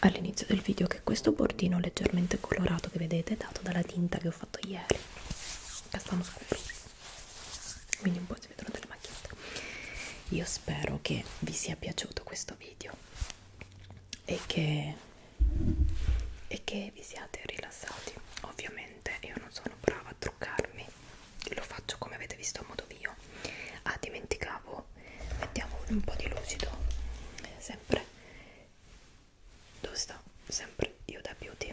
all'inizio del video che questo bordino leggermente colorato che vedete è dato dalla tinta che ho fatto ieri castano scuro quindi un po' si vedono delle macchiette io spero che vi sia piaciuto questo video e che, e che vi siate rilassati ovviamente io non sono brava a truccarmi lo faccio come avete visto a modo mio ah dimenticavo mettiamo un po' di lucido sempre dove sta? sempre io da beauty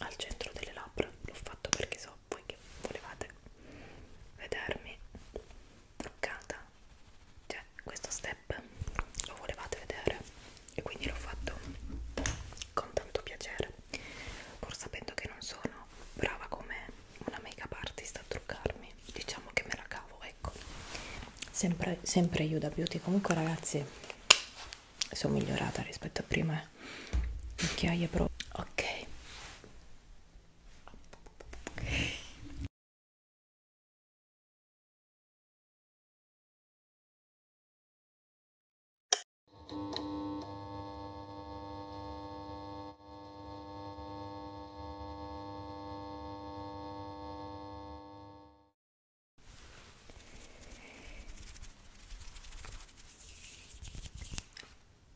al centro delle labbra l'ho fatto perché so voi che volevate vedermi truccata cioè questo step lo volevate vedere e quindi l'ho fatto con tanto piacere pur sapendo che non sono brava come una make up artist a truccarmi diciamo che me la cavo ecco sempre, sempre io da beauty comunque ragazzi sono migliorata rispetto a prima occhiaie eh. pro ok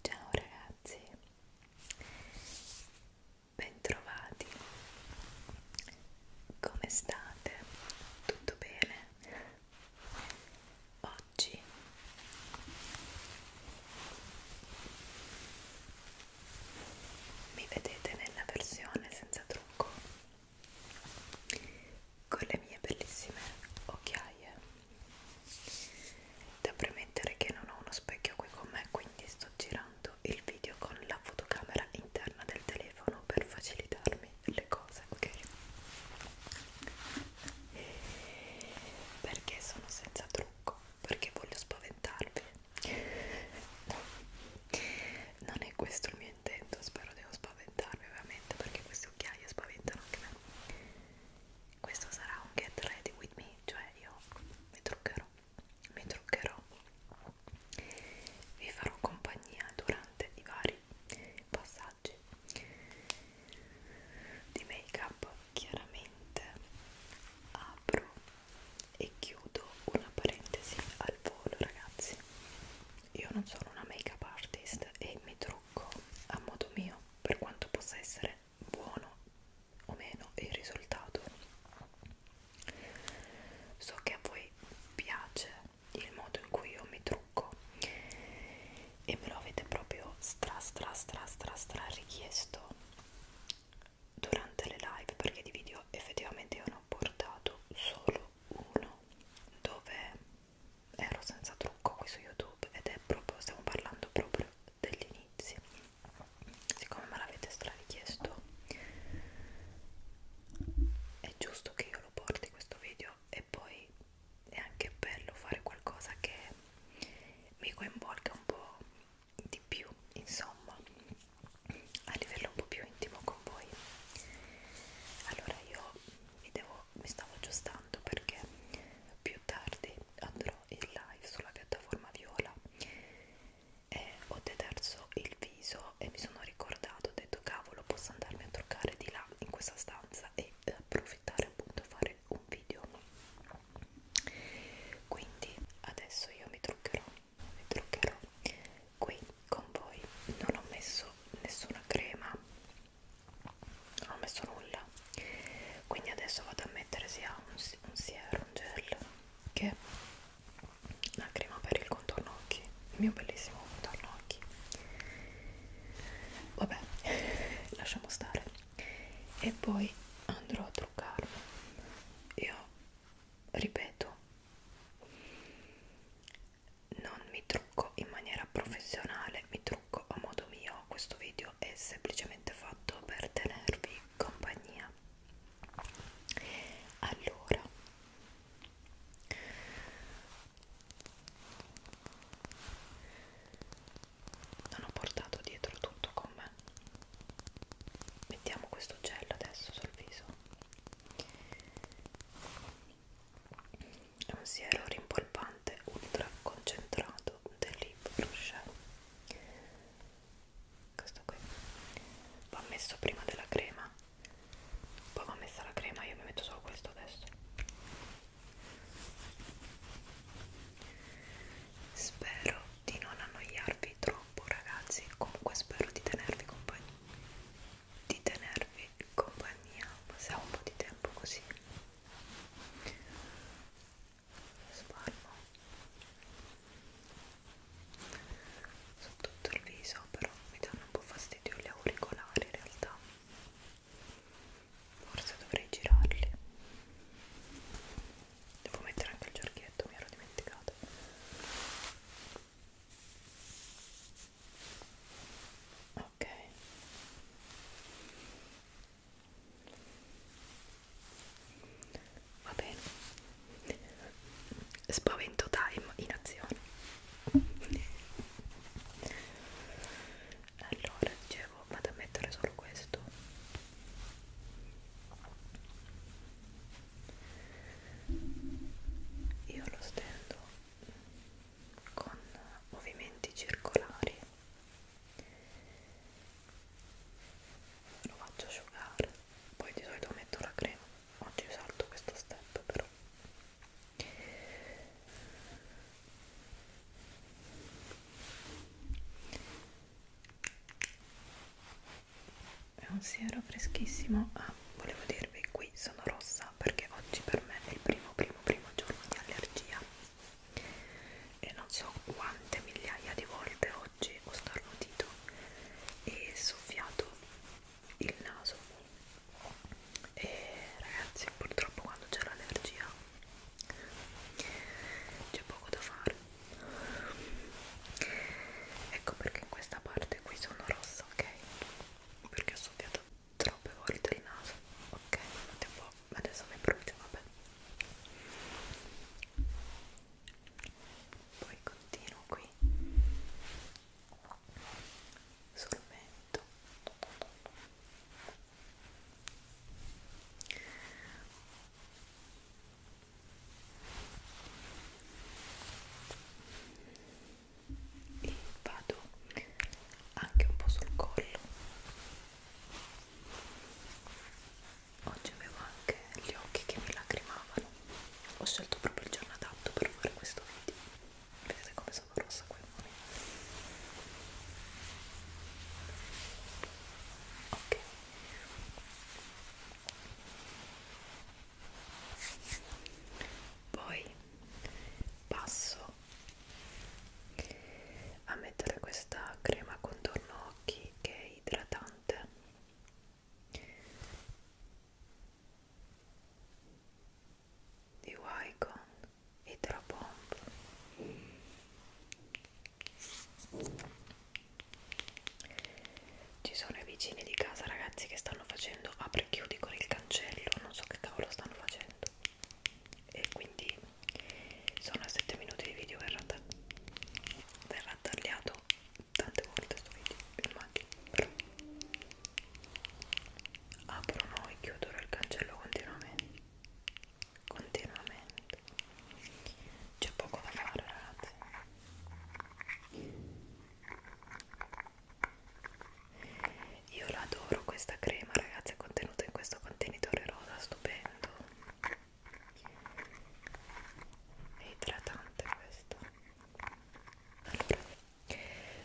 Ciao ragazzi, bentrovati, come state? Tutto bene? Oggi mi vedete nella versione senza trucco con le mie bellissime occhiaie da premettere che non ho uno specchio qui con me quindi sto girando il video con la fotocamera interna del telefono per facilitarmi le cose ok perché sono senza trucco perché voglio spaventarvi non è questo il mio intento spero devo spaventarvi ovviamente perché queste occhiaie spaventano anche me questo sarà un get ready with me cioè io mi truccherò mi truccherò vi farò compagnia durante i vari passaggi di make up chiaramente apro e chiudo una parentesi al volo ragazzi io non sono una make up artist e mi trucco a modo mio per quanto possa essere buono o meno il risultato so che a voi piace il modo in cui io mi trucco e me lo avete proprio stra stra stra stra stra richiesto durante le live perché di video effettivamente io ne ho portato solo uno dove ero senza trucco qui su youtube ed è proprio stiamo parlando proprio degli inizi siccome me l'avete strarichiesto è giusto che io lo porti questo video e poi è anche bello fare qualcosa che mi coinvolga un po' di più insomma a livello un po' più intimo con voi allora io mi, devo, mi stavo aggiustando perché più tardi andrò in live sulla piattaforma viola e ho deterso il viso e mi sono ricordato ho detto cavolo posso andarmi a truccare di là in questa stanza e approfittare appunto a fare un video quindi adesso io mi truccherò mi truccherò qui con voi non ho messo nessuna crema non ho messo nulla quindi adesso vado a mettere sia un, un siero un gel che la crema per il contorno occhi il mio bellissimo contorno occhi vabbè lasciamo stare e poi andrò a truccarlo io ripeto non mi trucco in maniera professionale mi trucco a modo mio questo video è semplicemente fatto per tenervi compagnia allora non ho portato dietro tutto con me me mettiamo questo gel adesso sul viso è un siero rimpolpante ultra concentrato dell'Hip Rocher questo qui va messo prima della crema poi va messa la crema io mi metto solo questo adesso spero di non annoiarvi dilungarvi troppo ragazzi comunque spero di tenervi compagnia di tenervi compagnia passiamo un po' di tempo così spalmo su tutto il viso però mi danno un po' fastidio gli auricolari in realtà forse dovrei girarli Devo mettere anche il giorghetto, mi ero dimenticato. Ok. Va bene. Spavento time in azione. Allora, dicevo, vado a mettere solo questo io lo stendo con movimenti circolari lo faccio asciugare poi di solito metto la crema oggi salto questo step però è un siero freschissimo ah volevo dirvi qui sono rossa perché oggi per me è il primo primo primo giorno di allergia e non so quante migliaia di volte oggi ho starnutito e soffiato il naso e ragazzi purtroppo quando c'è l'allergia c'è poco da fare ecco perché in questa parte qui sono rossa ok perché ho soffiato troppe volte il naso ok tipo adesso mi brucio vabbè poi continuo qui sul mento e vado anche un po' sul collo oggi avevo anche gli occhi che mi lacrimavano ho scelto proprio il giorno adatto per fare questo video vedete come sono rossa qui ok poi passo a mettere questa crema contorno occhi che è idratante di Wycon Hydro Bomb ci sono i vicini di casa ragazzi che stanno facendo apri e chiudi con il cancello, non so che cavolo stanno facendo. E quindi sono a 7 minuti di video, verrà, ta verrà tagliato tante volte sto video, immagino, però aprono e chiudono il cancello continuamente continuamente veramente c'è poco da fare ragazzi io l'adoro questa crema ragazzi è contenuta in questo contenitore rosa stupendo è idratante questo allora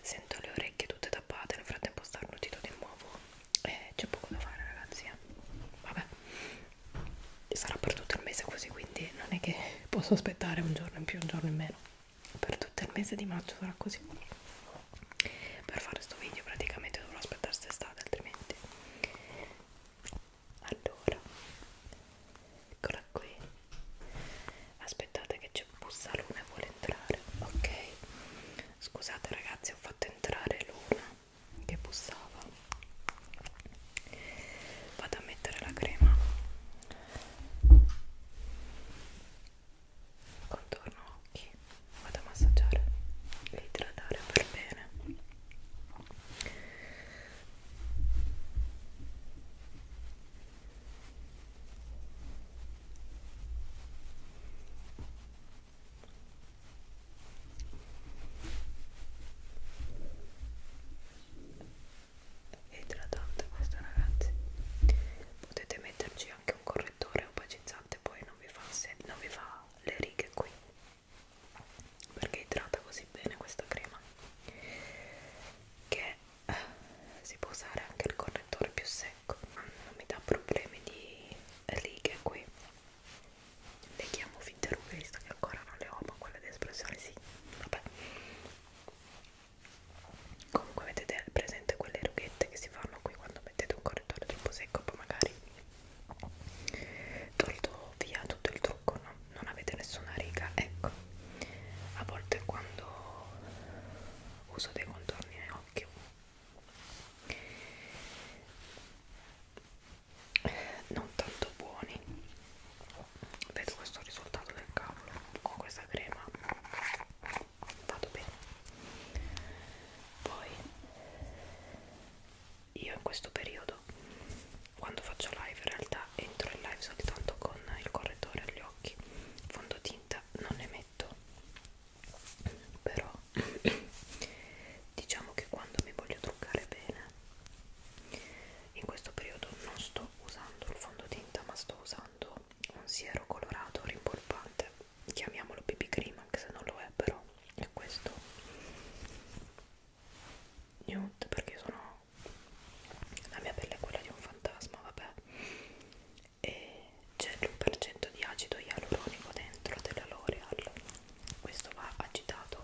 sento le orecchie tutte tappate nel frattempo starnutito di nuovo eh, c'è poco da fare ragazzi eh. vabbè sarà per tutto il mese così quindi non è che posso aspettare un giorno in più un giorno in meno per tutto il mese di maggio sarà così per fare questo video praticamente dovrò aspettare l'estate altrimenti allora eccola qui aspettate che c'è bussa luna e vuole entrare ok scusate ragazzi ho fatto entrare luna che bussava vado a mettere la crema contorno occhi vado a massaggiare e idratare per bene è idratante questo ragazzi potete metterci anche un correttore opacizzante poi non vi fa, se, non vi fa le righe qui perché idrata così bene questa crema che eh, si può usare anche il correttore più secco non mi dà problemi di righe qui le chiamo finte rughe visto che ancora non le ho ma quelle di espressione sì vabbè comunque avete presente quelle rughette che si fanno qui quando mettete un correttore troppo secco poi magari tolto via tutto il trucco no? non avete nessuna riga ecco a volte quando uso dei contorni nell'occhio non tanto buoni vedo questo risultato del cavolo con questa crema vado bene poi io in questo periodo quando faccio live in realtà entro in live soltanto con il correttore agli occhi fondotinta non ne metto però diciamo che quando mi voglio truccare bene in questo periodo non sto usando il fondotinta ma sto usando un siero colorato rimpolpante chiamiamolo BB cream anche se non lo è però è questo nude perché sono la mia pelle è quella di un fantasma vabbè e c'è l'1% di acido ialuronico dentro della L'Oreal questo va agitato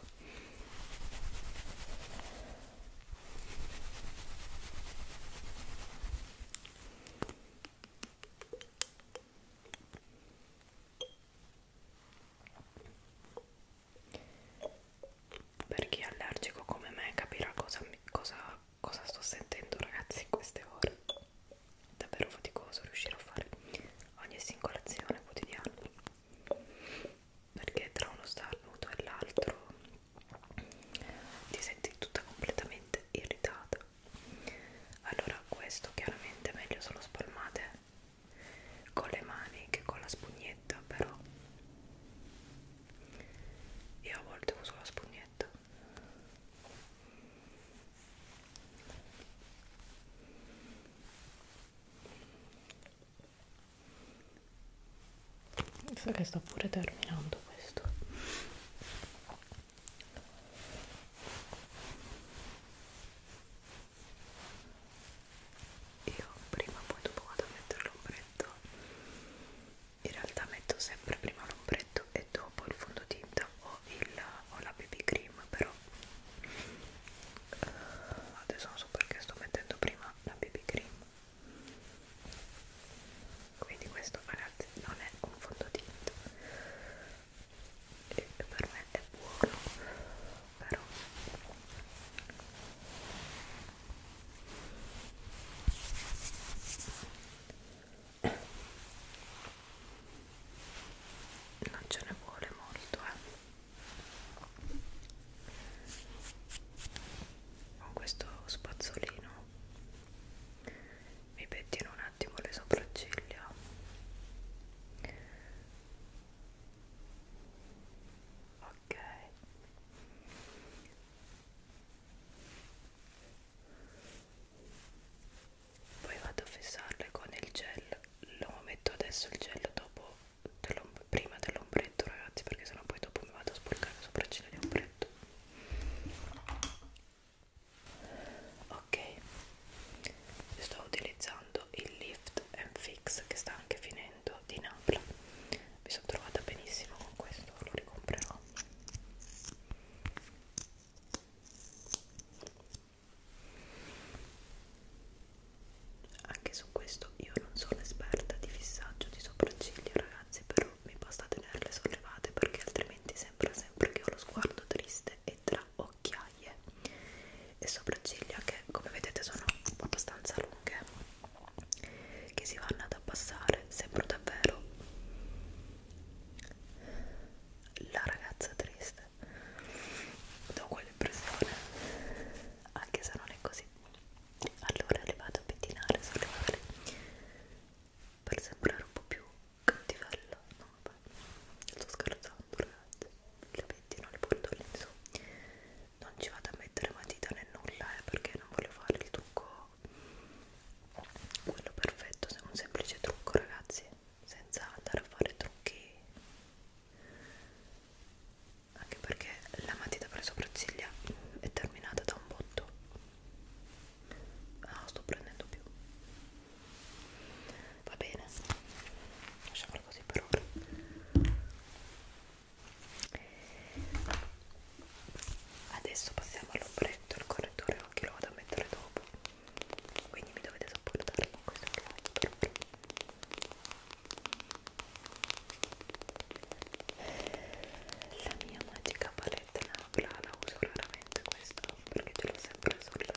per chi è allergico come me capirà cosa, cosa, cosa sto sentendo ragazzi in queste ore è davvero faticoso riuscire a fare ogni singola azione quotidiana perché tra uno starnuto e l'altro ti senti tutta completamente irritata allora questo chiaramente è meglio se lo spalmate con le mani che con la spugnetta però io a volte uso la spugnetta so che sto pure terminando questo io prima o poi dopo vado a mettere l'ombretto in realtà metto sempre prima l'ombretto e dopo il fondotinta o, il, o la BB cream però adesso non so perché sto mettendo prima la BB cream quindi questo ragazzi non è un fondotinta e per me è buono però non ce ne vuole molto eh con questo spazzolino mi pettino un attimo le sopracciglia ok poi vado a fissarle con il gel lo metto adesso il gel dopo dell prima dell'ombretto ragazzi perché sennò poi dopo mi vado a sporcare sopra il cino di ombretto ok sto utilizzando il lift and fix che sta anche finendo di Napla mi sono trovata benissimo con questo lo ricomprerò anche su questo io non sono esperta di fissaggio di sopracciglia ragazzi però mi basta tenerle sollevate perché altrimenti sembra sempre che ho lo sguardo triste e tra occhiaie e sopracciglia che come vedete sono abbastanza lunghe che si vanno ad abbassare sembro davvero la ragazza triste do quell'impressione anche se non è così allora le vado a pettinare sulle mani per sembrare un po' più cattivella no vabbè sto scherzando ragazzi le pettino le porto lì su non ci vado a mettere matita né nulla eh, perché non voglio fare il trucco quello perfetto se è un semplice trucco ragazzi senza andare a fare trucchi anche perché la matita per le sopracciglia è terminata da un botto ah sto prendendo più va bene lasciamola così per ora adesso passiamo all'ombretto il correttore occhi lo vado a mettere dopo quindi mi dovete sopportare con questo occhialetto la mia magica palette Nabla la uso raramente questa perché ce l'ho sempre sulla,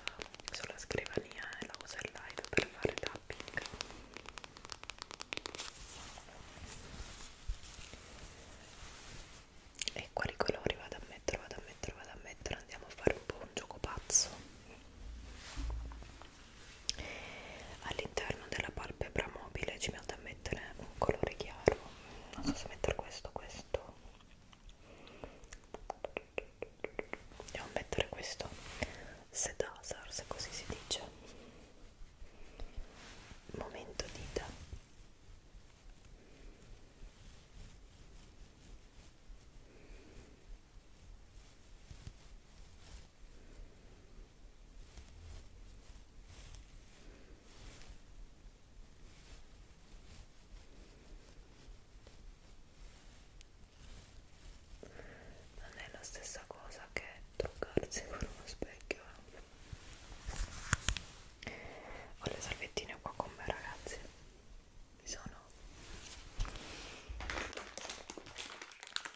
sulla scrivania e la uso in live per fare tapping. E quali colori vado a mettere, vado a mettere, vado a mettere, andiamo a fare un po' un gioco pazzo all'interno della palpebra mobile ci vado a mettere un colore chiaro non so se mettere questo questo devo mettere questo sedasar se così si dice momento dita non è la stessa cosa che truccarsi con uno specchio eh? ho le salvettine qua con me ragazzi mi sono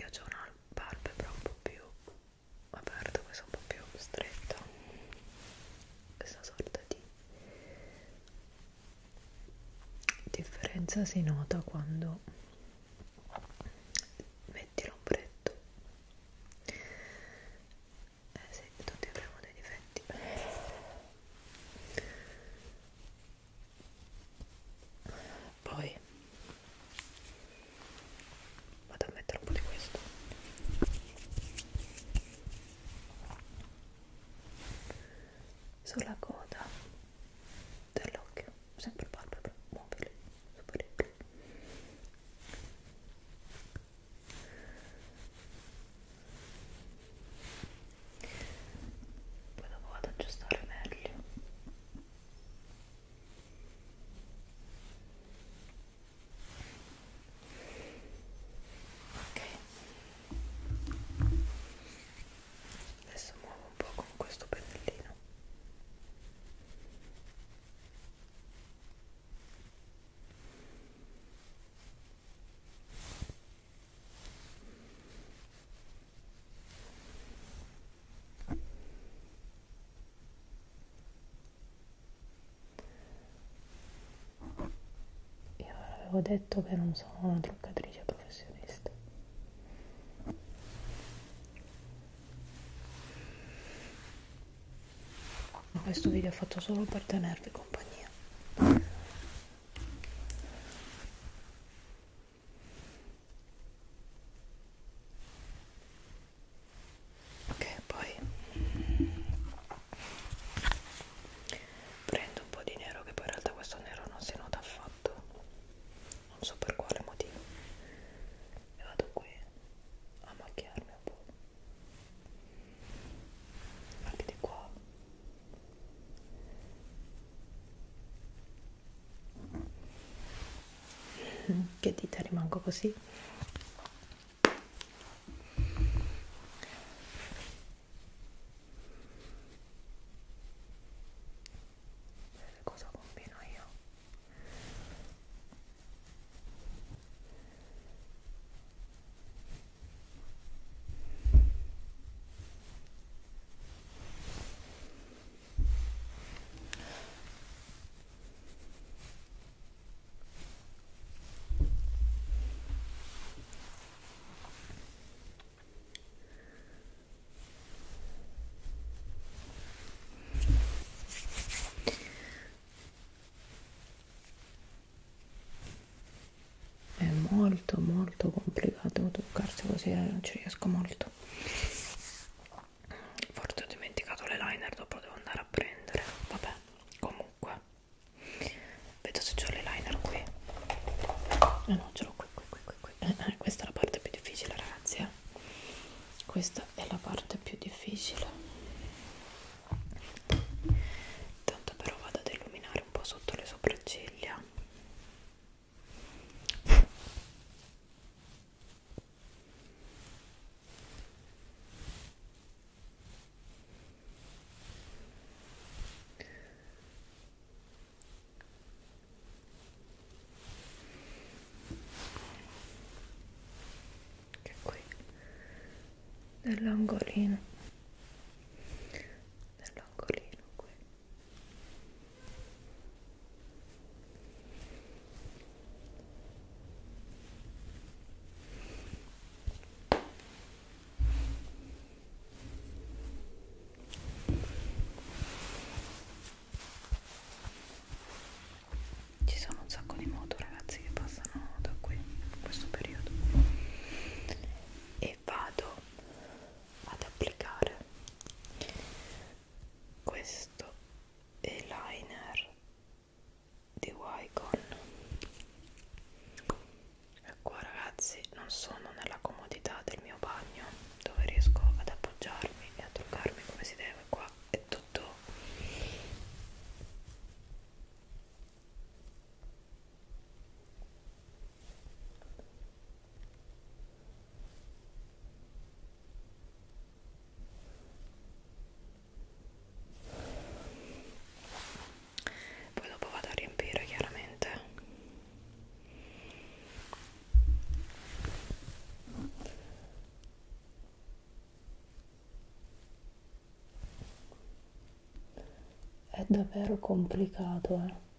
io ho una palpebra un po' più aperta, questa un po' più stretta questa sorta di differenza si nota quando metti l'ombretto eh sì, tutti avremo dei difetti poi vado a mettere un po' di questo sulla coda dell'occhio sempre palpebra mobile superiore poi dopo vado ad aggiustare meglio ok adesso muovo un po' con questo pennellino ok io avevo detto che non sono una truccatrice professionista. Ma questo video è fatto solo per tenervi compagnia ok poi prendo un po' di nero che poi in realtà questo nero non si nota affatto non so per quale motivo e vado qui a macchiarmi un po' anche di qua che dita rimango così cosa combino io è molto molto complicato toccarsi così, eh, non ci riesco molto forse ho dimenticato le liner dopo devo andare a prendere vabbè comunque vedo se ho le liner qui no eh, no ce l'ho qui qui qui qui, qui. Eh, eh, questa è la parte più difficile ragazzi eh. questa è la parte più difficile Tanto però vado ad illuminare un po' sotto le sopracciglia che qui nell'angolino nell'angolino qui ci sono un sacco di moto ragazzi che passano da qui in questo periodo e vado ad applicare questo eyeliner di Wycon e qua ragazzi non sono nella comodità del mio bagno dove riesco ad appoggiarmi e a truccarmi come si deve qua è tutto poi dopo vado a riempire chiaramente è davvero complicato eh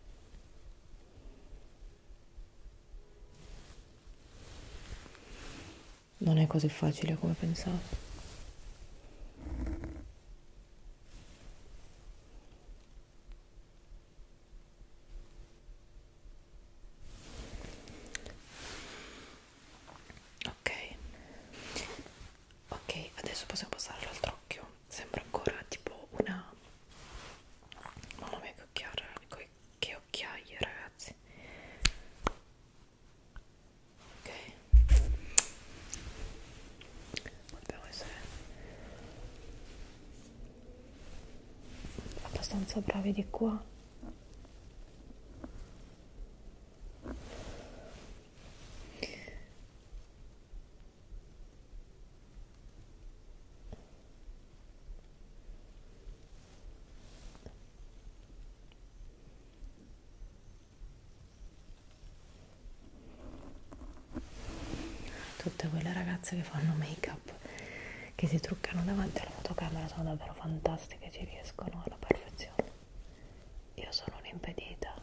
non è così facile come pensavo. Ok, ok, adesso possiamo passare all'altro occhio. Sembra ancora tipo una... Mamma mia, che occhiare, che occhiaie ragazzi ok dobbiamo essere abbastanza bravi di qua Tutte quelle ragazze che fanno make up, che si truccano davanti alla fotocamera, sono davvero fantastiche, ci riescono alla perfezione. Io sono un'impedita.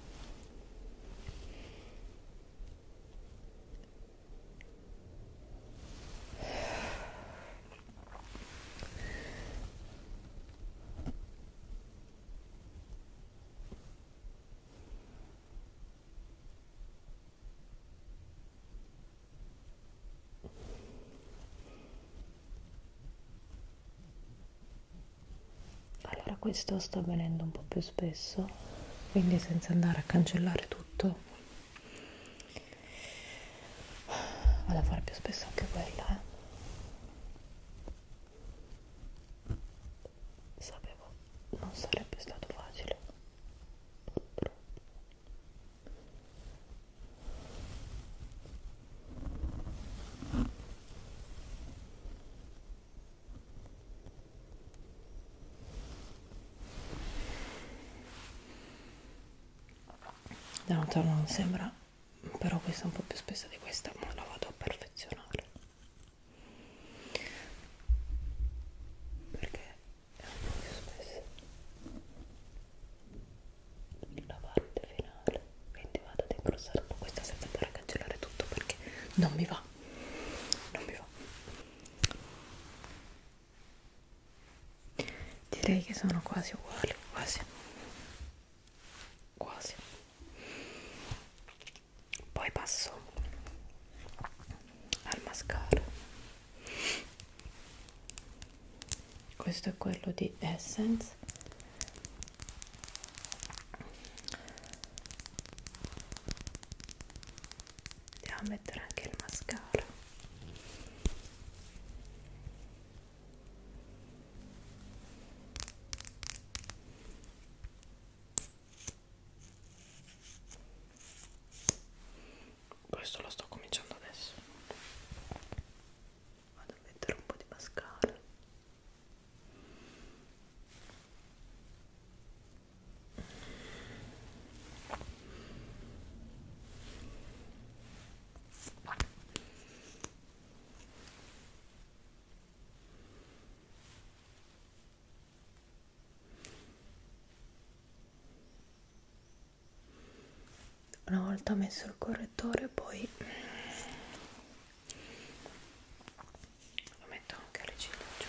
Allora questo sta avvenendo un po' più spesso, quindi senza andare a cancellare tutto tutto vado a fare più spesso anche quella eh. sapevo non sarebbe stato facile purtroppo da lontano non sembra però questa è un po' più spessa di questa ma la vado a perfezionare perché è un po' più spessa la parte finale quindi vado ad incrostare un po' questa senza andare a cancellare tutto perché non mi va non mi va direi che sono quasi uguali quasi quasi poi passo al mascara questo è quello di Essence andiamo a mettere anche il mascara questo lo sto cominciando adesso vado a mettere un po' di mascara una volta messo il correttore poi lo metto anche alle ciglia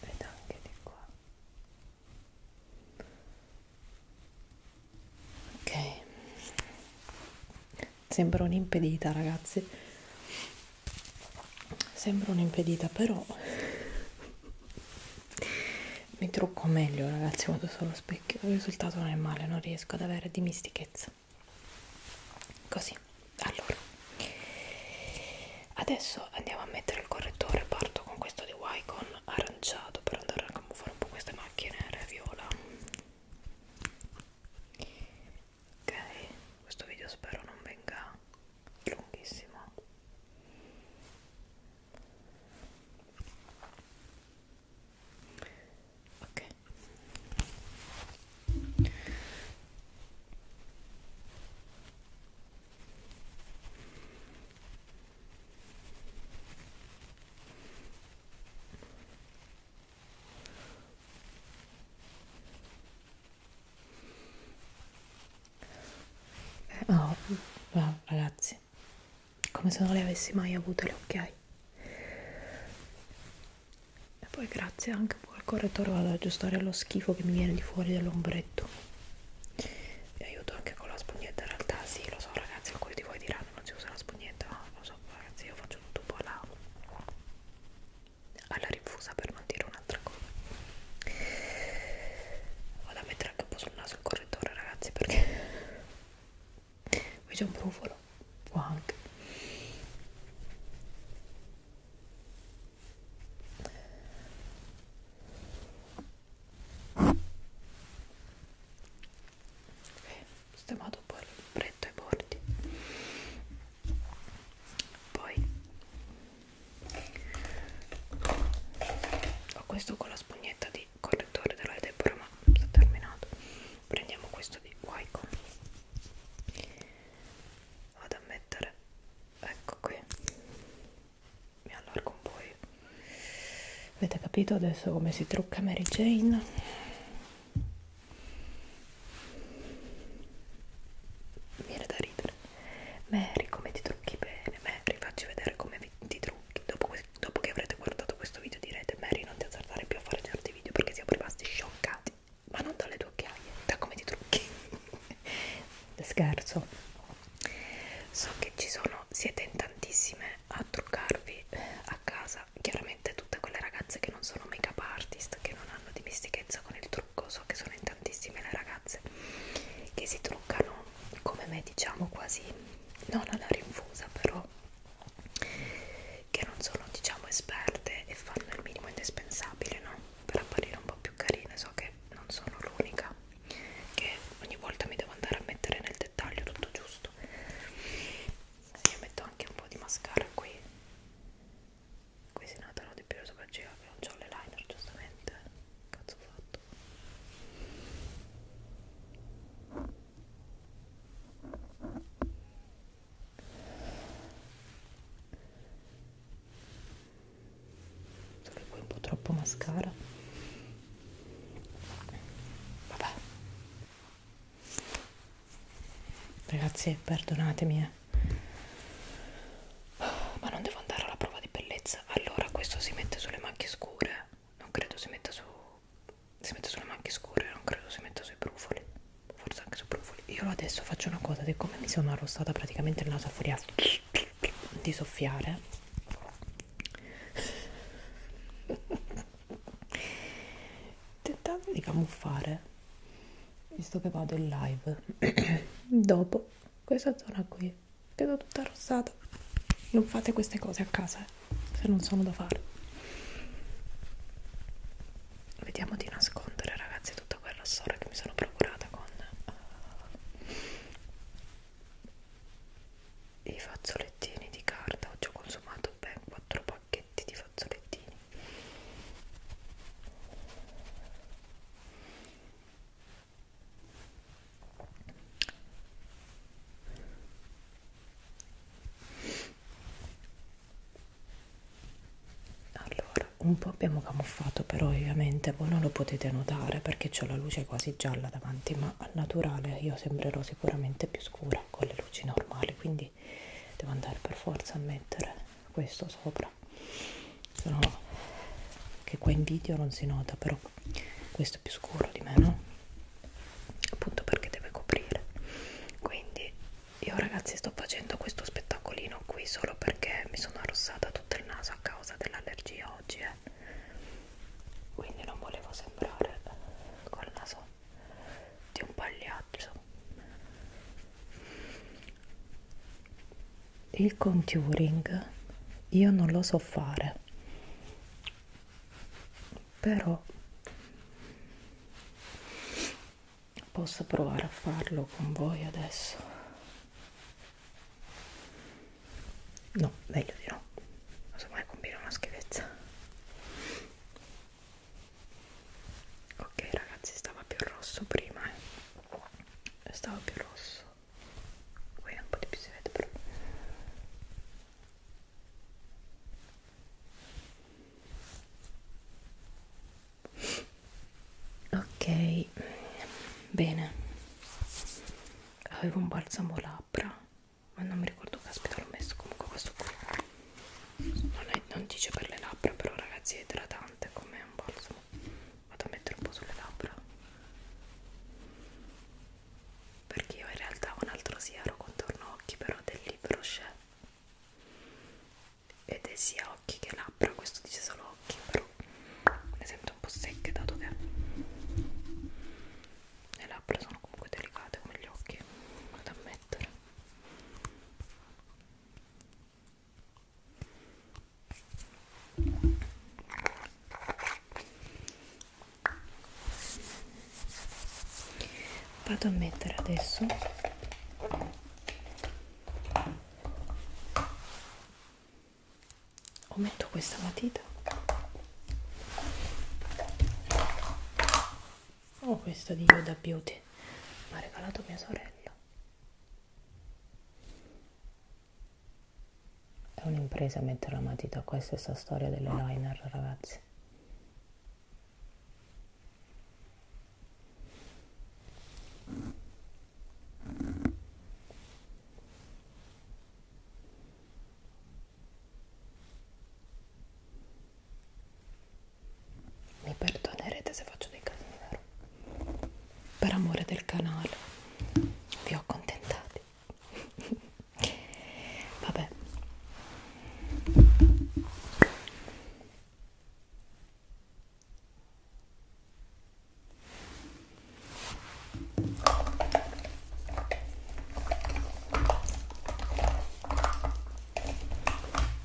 ed anche di qua ok sembra un'impedita ragazzi sembra un'impedita però mi trucco meglio ragazzi quando sono allo specchio il risultato non è male non riesco ad avere dimistichezza Relax. Così. Allora. Adesso andiamo a mettere il correttore. Parto con questo di Wycon aranciato per andare a camuffare un po' queste macchie nere viola. Ok, questo video spero non venga lunghissimo. Ok, Beh, oh, wow, ragazzi, come se non le avessi mai avute le occhiaie e poi grazie anche al correttore vado ad aggiustare lo schifo che mi viene di fuori dall'ombretto vi aiuto anche con la spugnetta in realtà sì lo so ragazzi alcuni di voi diranno non si usa la spugnetta no, lo so ragazzi io faccio tutto un po' alla, alla rifusa per non dire un'altra cosa vado a mettere anche un po' sul naso il correttore ragazzi perché qui c'è un brufolo può anche e ho sistemato un po' il libretto ai bordi poi ho questo con la spugnetta di correttore della Deborah ma non sta terminato prendiamo questo di Wycombe vado a mettere ecco qui mi allargo un po' io. avete capito adesso come si trucca Mary Jane mi viene da ridere Mary come ti trucchi bene Mary facci vedere come ti trucchi dopo, dopo che avrete guardato questo video direte Mary non ti azzardare più a fare certi video perché siamo rimasti scioccati ma non dalle tue occhiaie, da come ti trucchi. Scherzo. So che ci sono, siete in tantissime a truccarvi eh, a casa, chiaramente tutte quelle ragazze che non sono make up artist, che non hanno dimestichezza con il trucco, so che sono in tantissime le ragazze che si truccano come me, diciamo quasi non alla rinfusa, però che non sono diciamo esperte e fanno il minimo indispensabile no? per apparire un po' più carine so che non sono l'unica che ogni volta mi devo andare a mettere nel dettaglio tutto giusto io metto anche un po' di mascara qui qui si notano di più le sopracciglia che non ho le liner giustamente cazzo ho fatto solo qui un po' troppo mascara vabbè ragazzi perdonatemi eh. Oh, ma non devo andare alla prova di bellezza allora questo si mette sulle macchie scure non credo si metta su si mette sulle macchie scure non credo si metta sui brufoli forse anche su profoli io adesso faccio una cosa siccome mi sono arrossata praticamente il naso a furia di soffiare tentando di camuffare visto che vado in live dopo questa zona qui vedo tutta arrossata non fate queste cose a casa eh, se non sono da fare vediamo di nascondere ragazzi tutto tutta quella storia che mi sono procurata con uh, i fazzolettini di carta oggi ho consumato ben 4 pacchetti di fazzolettini allora un po' abbiamo camuffato però ovviamente voi non lo potete notare perché ho la luce quasi gialla davanti ma al naturale io sembrerò sicuramente più scura con le luci normali quindi devo andare per forza a mettere questo sopra Sennò che qua in video non si nota però questo è più scuro di me no appunto perché deve coprire quindi io ragazzi sto facendo questo spettacolino qui solo perché mi sono arrossata tutto il naso a causa dell'allergia oggi eh. quindi non volevo sembrare col naso di un pagliaccio il contouring io non lo so fare però possa provare a farlo con voi adesso no meglio di no casomai combina una schifezza ok ragazzi stava più rosso prima eh. stava più rosso qui un po' di più si vede però ok bene avevo un balsamo labbra ma non mi ricordo caspita l'ho messo comunque questo qui non, è, non dice per le labbra però ragazzi è idratante come un balsamo vado a mettere un po' sulle labbra perché io in realtà ho un altro siero contorno occhi però del libro c'è ed è sia occhi che labbra, questo dice solo occhi, però le sento un po' secche dato che le labbra sono comunque delicate come gli occhi, da ammettere. Vado a mettere adesso Ometto questa matita o oh, questa di Yoda Beauty mi ha regalato mia sorella è un'impresa mettere la matita qua è stessa storia delle liner ragazzi mi perdonerete se faccio dei casini, vero? Per amore del canale, vi ho accontentati. Vabbè.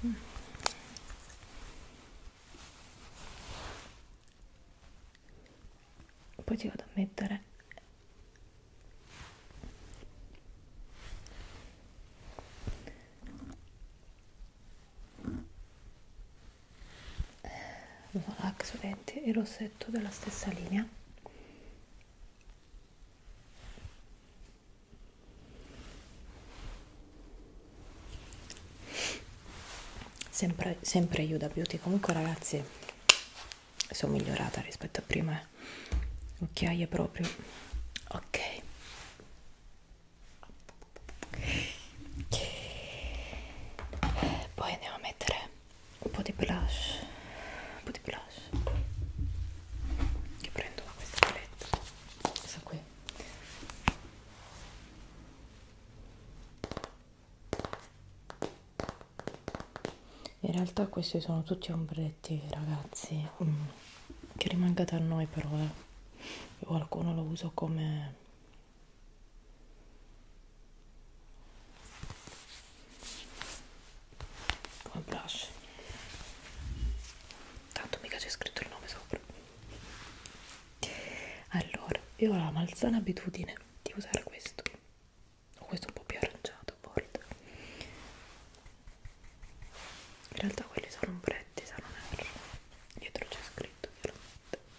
Mm. Poi ti vado a mettere Volax verde e rossetto della stessa linea sempre, sempre Yuda Beauty comunque ragazzi sono migliorata rispetto a prima eh. occhiaie proprio ok poi andiamo a mettere un po' di blush un po' di blush che prendo da questa paletta questa qui in realtà questi sono tutti ombretti ragazzi mm. che rimangate a noi però eh io qualcuno lo uso come come blush tanto mica c'è scritto il nome sopra allora io ho la malsana abitudine di usare questo o questo un po' più aranciato a volte in realtà quelli sono ombretti se non erro dietro c'è scritto chiaramente ok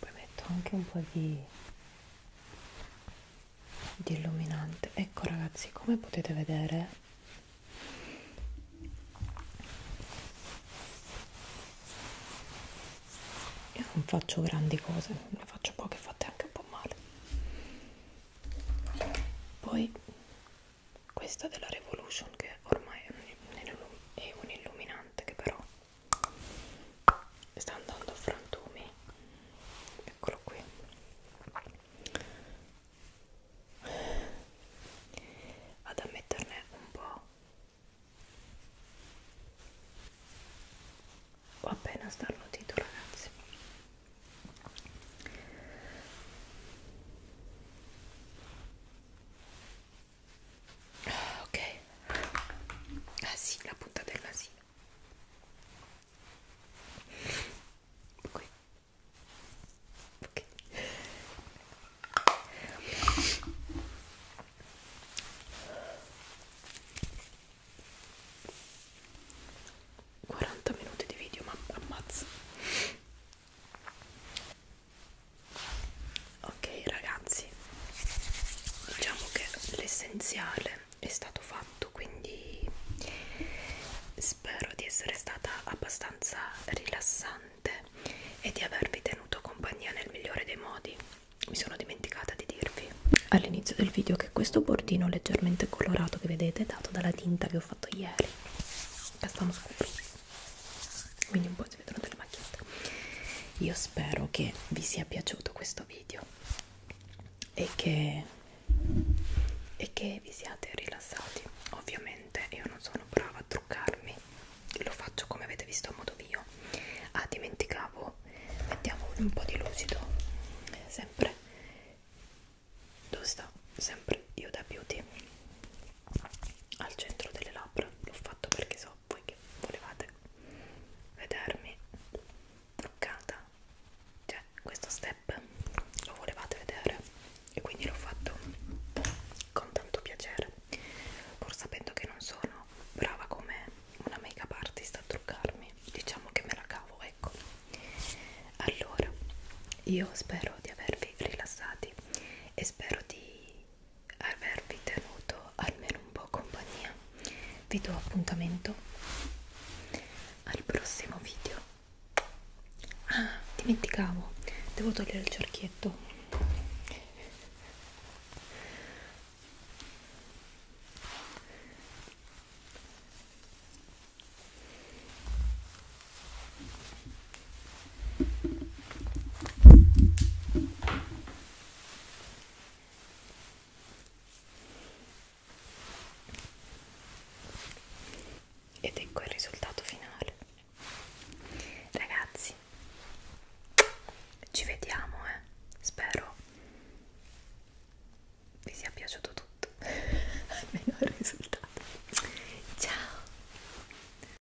poi metto anche un po' di, di illuminante ecco ragazzi come potete vedere io non faccio grandi cose ne faccio poche fatte anche un po' male poi questa della Revolution che ormai è un, è un illuminante che però sta andando a frantumi eccolo qui vado a metterne un po' ho appena starnutito ragazzi ok ah sì la punta del nasino qui ok Quaranta minuti di video, ma ammazza ok ragazzi diciamo che l'essenziale è stato fatto quindi spero di essere stata abbastanza rilassante e di avervi tenuto compagnia nel migliore dei modi mi sono dimenticata di dirvi all'inizio del video che questo bordino leggermente colorato che vedete è dato dalla tinta che ho fatto ieri castano scuro quindi un po' si vedono delle macchiette io spero che vi sia piaciuto questo video e che, e che vi siate rilassati ovviamente io non sono brava a truccarmi lo faccio come avete visto a modo mio ah dimenticavo mettiamo un po' di lucido sempre dove sta? sempre io da beauty al centro delle labbra l'ho fatto perché so voi che volevate vedermi truccata cioè questo step lo volevate vedere e quindi l'ho fatto con tanto piacere pur sapendo che non sono brava come una make up artist a truccarmi diciamo che me la cavo ecco allora io spero di avervi rilassati e spero di avervi tenuto almeno un po' compagnia vi do appuntamento al prossimo video ah dimenticavo devo togliere il cerchietto ed ecco il risultato finale. Ragazzi, ci vediamo, eh. Spero vi sia piaciuto tutto, almeno il risultato. Ciao!